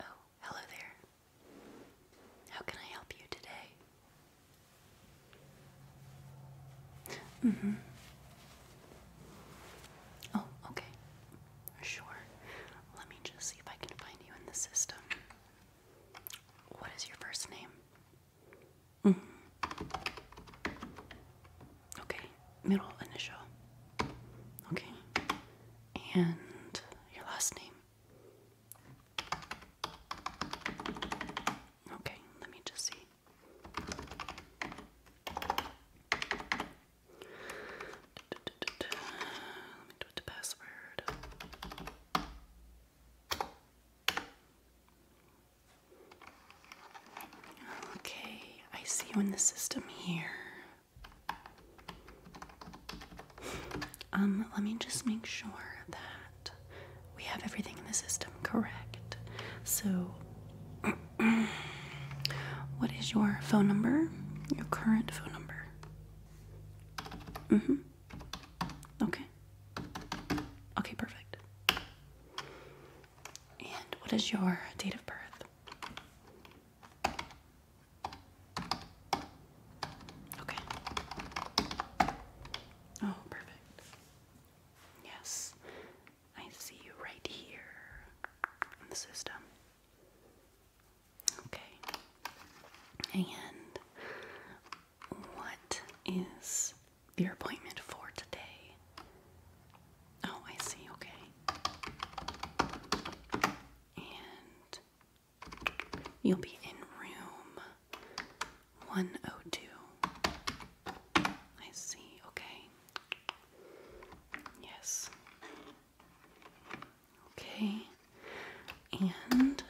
Oh, hello there. How can I help you today? Mm hmm. Oh, okay. Sure. Let me just see if I can find you in the system. What is your first name? Mm-hmm. Okay, middle initial. Okay. And your last name. Okay, let me just see. Let me put the password. Okay, I see you in the system here. Um, let me just make sure that we have everything in the system correct. So What is your phone number? Your current phone number? Mm hmm. Okay. Okay, perfect. And what is your date of birth? Okay. Oh, perfect. Yes, I see you right here in the system. Okay. And what is your appointment for today? Oh, I see. Okay. And you'll be in room 102. I see. Okay. Yes. Okay, and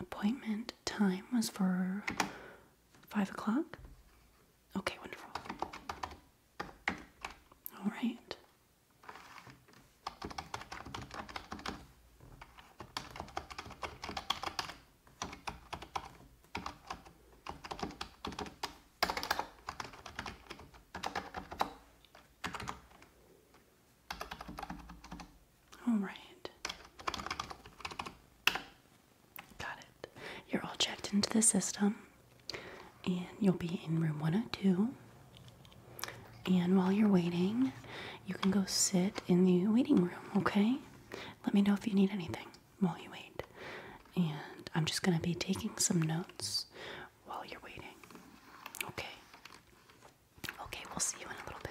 appointment time was for five o'clock. Okay, wonderful. All right. All right. Got it. You're all checked into the system, and you'll be in room 102. And while you're waiting, you can go sit in the waiting room, okay? Let me know if you need anything while you wait. And I'm just going to be taking some notes while you're waiting. Okay. Okay, we'll see you in a little bit.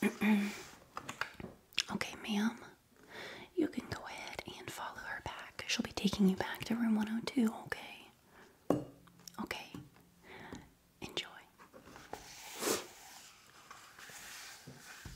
okay, ma'am, you can go ahead and follow her back. She'll be taking you back to room 102, okay? Okay. Enjoy.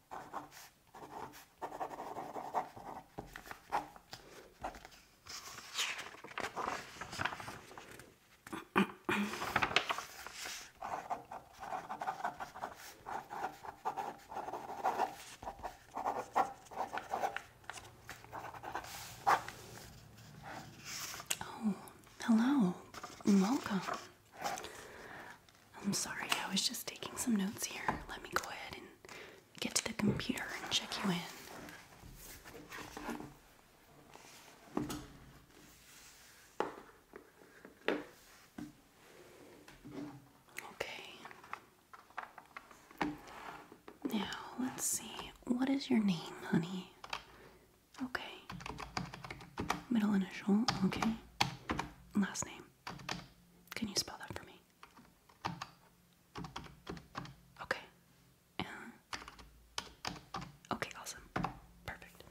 oh, hello, welcome. I'm sorry, I was just taking some notes here. Let me go ahead and get to the computer and check you in. Okay. Now, let's see. What is your name, honey? Okay. Middle initial, okay. Last name. Can you spell that for me? Okay. Uh Okay, awesome. Perfect.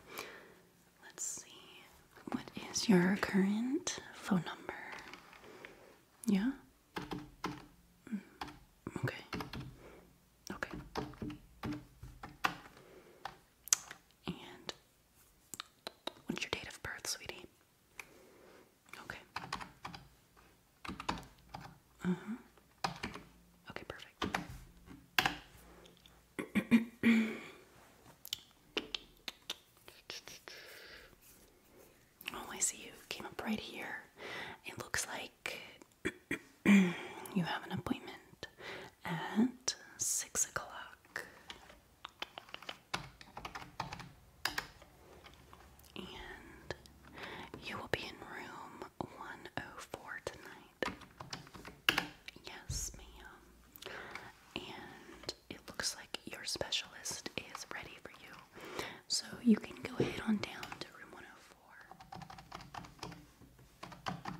Let's see. What is your current phone number? Yeah? Mm, okay. Okay. And What's your date of birth, sweetie? Okay. Uh-huh. Okay, perfect. oh, I see you came up right here. It looks like you have an appointment at six o'clock. And you will be in room 104 tonight. Yes, ma'am. And it looks like your specialist is ready for you. So you can go ahead on down to room 104.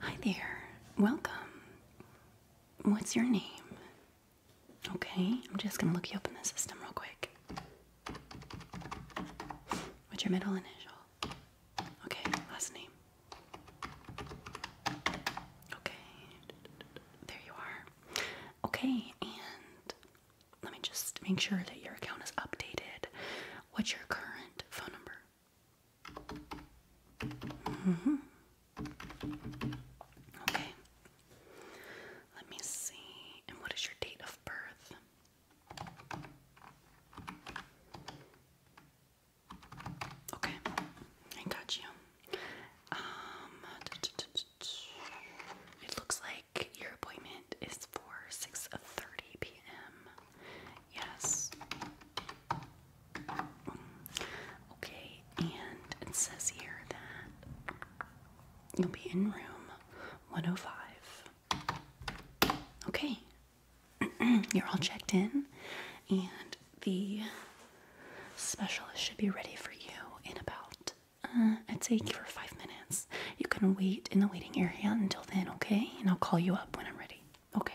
Hi there. Welcome. What's your name? Okay, I'm just gonna look you up in the system real quick. What's your middle initial? Okay, last name. Okay, there you are. Okay, and let me just make sure that your account is updated. What's your current phone number? Mm-hmm. Okay, let me see. And what is your date of birth? Okay, I got you. Um, it looks like your appointment is for 6:30 p.m. Yes. Okay, and it says here that you'll be in room 105. Okay, you're all checked in, and the specialist should be ready for you in about, uh, I'd say, give her five minutes. You can wait in the waiting area until then, okay? And I'll call you up when I'm ready. Okay.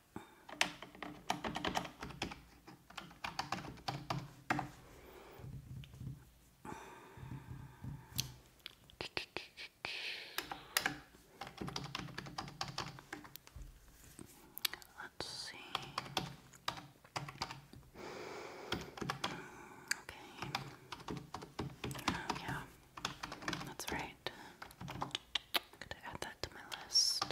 Let's see. Okay. yeah. That's right. gonna add that to my list.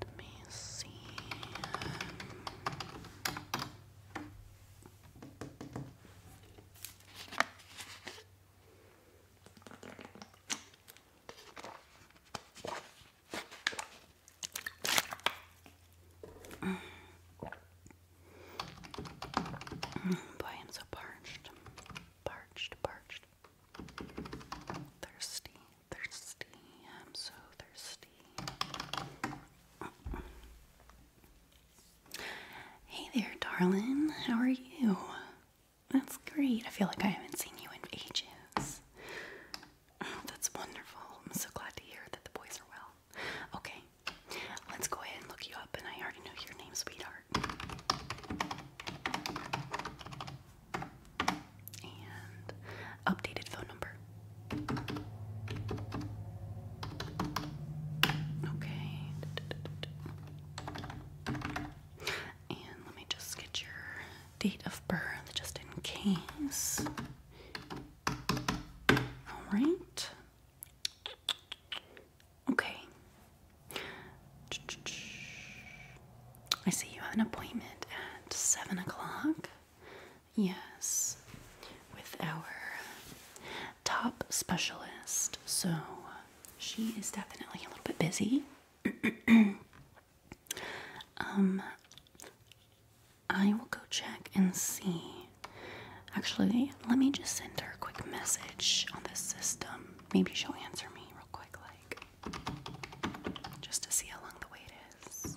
Let me see. Boy, I'm so parched. Parched, parched. Thirsty, thirsty. I'm so thirsty. Hey there, darling. How are you? That's great. I feel like I haven't seen you in ages. Oh, that's wonderful. I'm so glad to hear that the boys are well. Okay, let's go ahead and look you up, and I already know your name, sweetheart. And updated phone number. Okay. And let me just get your date of birth just in case. All right. Okay. I see you have an appointment at 7 o'clock. Yes, with our top specialist. So she is definitely a little bit busy. um, I will go check and see. Actually, let me just send her a quick message on the system. Maybe she'll answer me real quick, like just to see how long the wait is.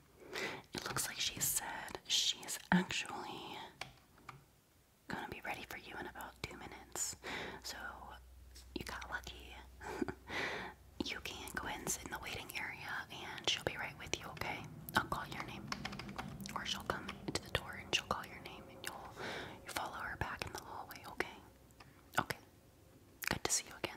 it looks like she said she's actually gonna be ready for you in about two minutes. So you got lucky. you can go ahead and sit in the waiting area and she'll be right with you, okay? I'll call your name. Or she'll come to the door and she'll call your name and you'll you follow her back in the hallway, okay? Okay. Good to see you again.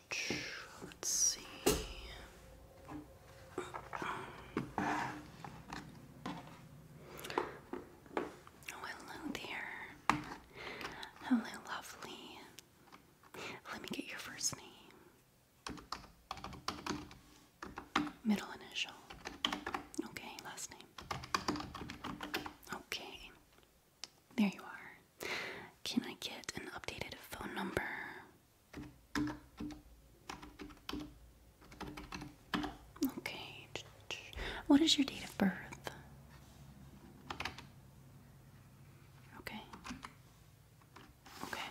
Let's see. Oh, hello there. Hello, lovely. Let me get your first name. Middle initial. Okay, last name. Okay. There you are. Can I get an updated phone number? Okay. What is your date of birth? Okay. Okay.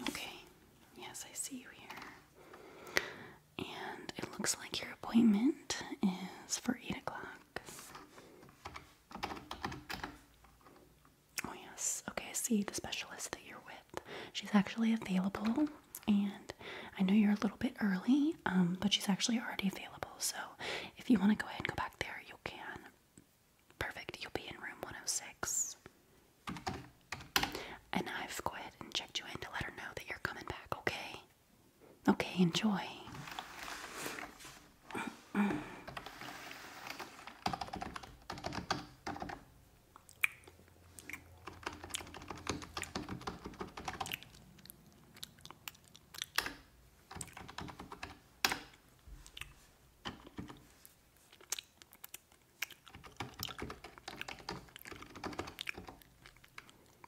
Okay. Yes, I see you here. And it looks like your appointment is for 8 o'clock. Oh, yes. Okay, I see the specialist that you're with. She's actually available, and I know you're a little bit early, um, but she's actually already available. So if you want to go ahead and go back there, you can. Perfect. You'll be in room 106. And I've go ahead and checked you in to let her know that you're coming back, okay? Okay, enjoy.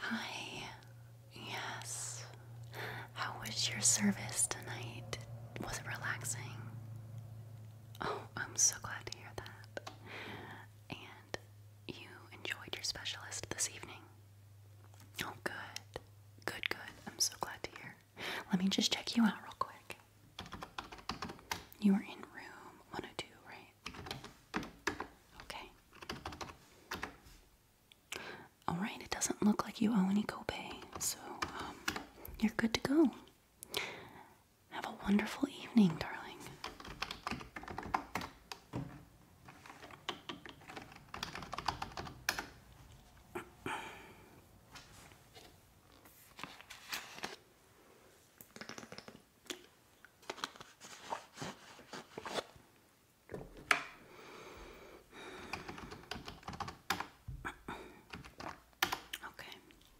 Hi. Yes. How was your service tonight? Was it relaxing? Oh, I'm so glad to hear that and you enjoyed your specialist this evening. Oh, good. Good, good. I'm so glad to hear. Let me just check you out real quick. You were in room 102, right? Okay. Alright, it doesn't look like you owe any copay, so um, you're good to go. Have a wonderful evening, darling. Okay.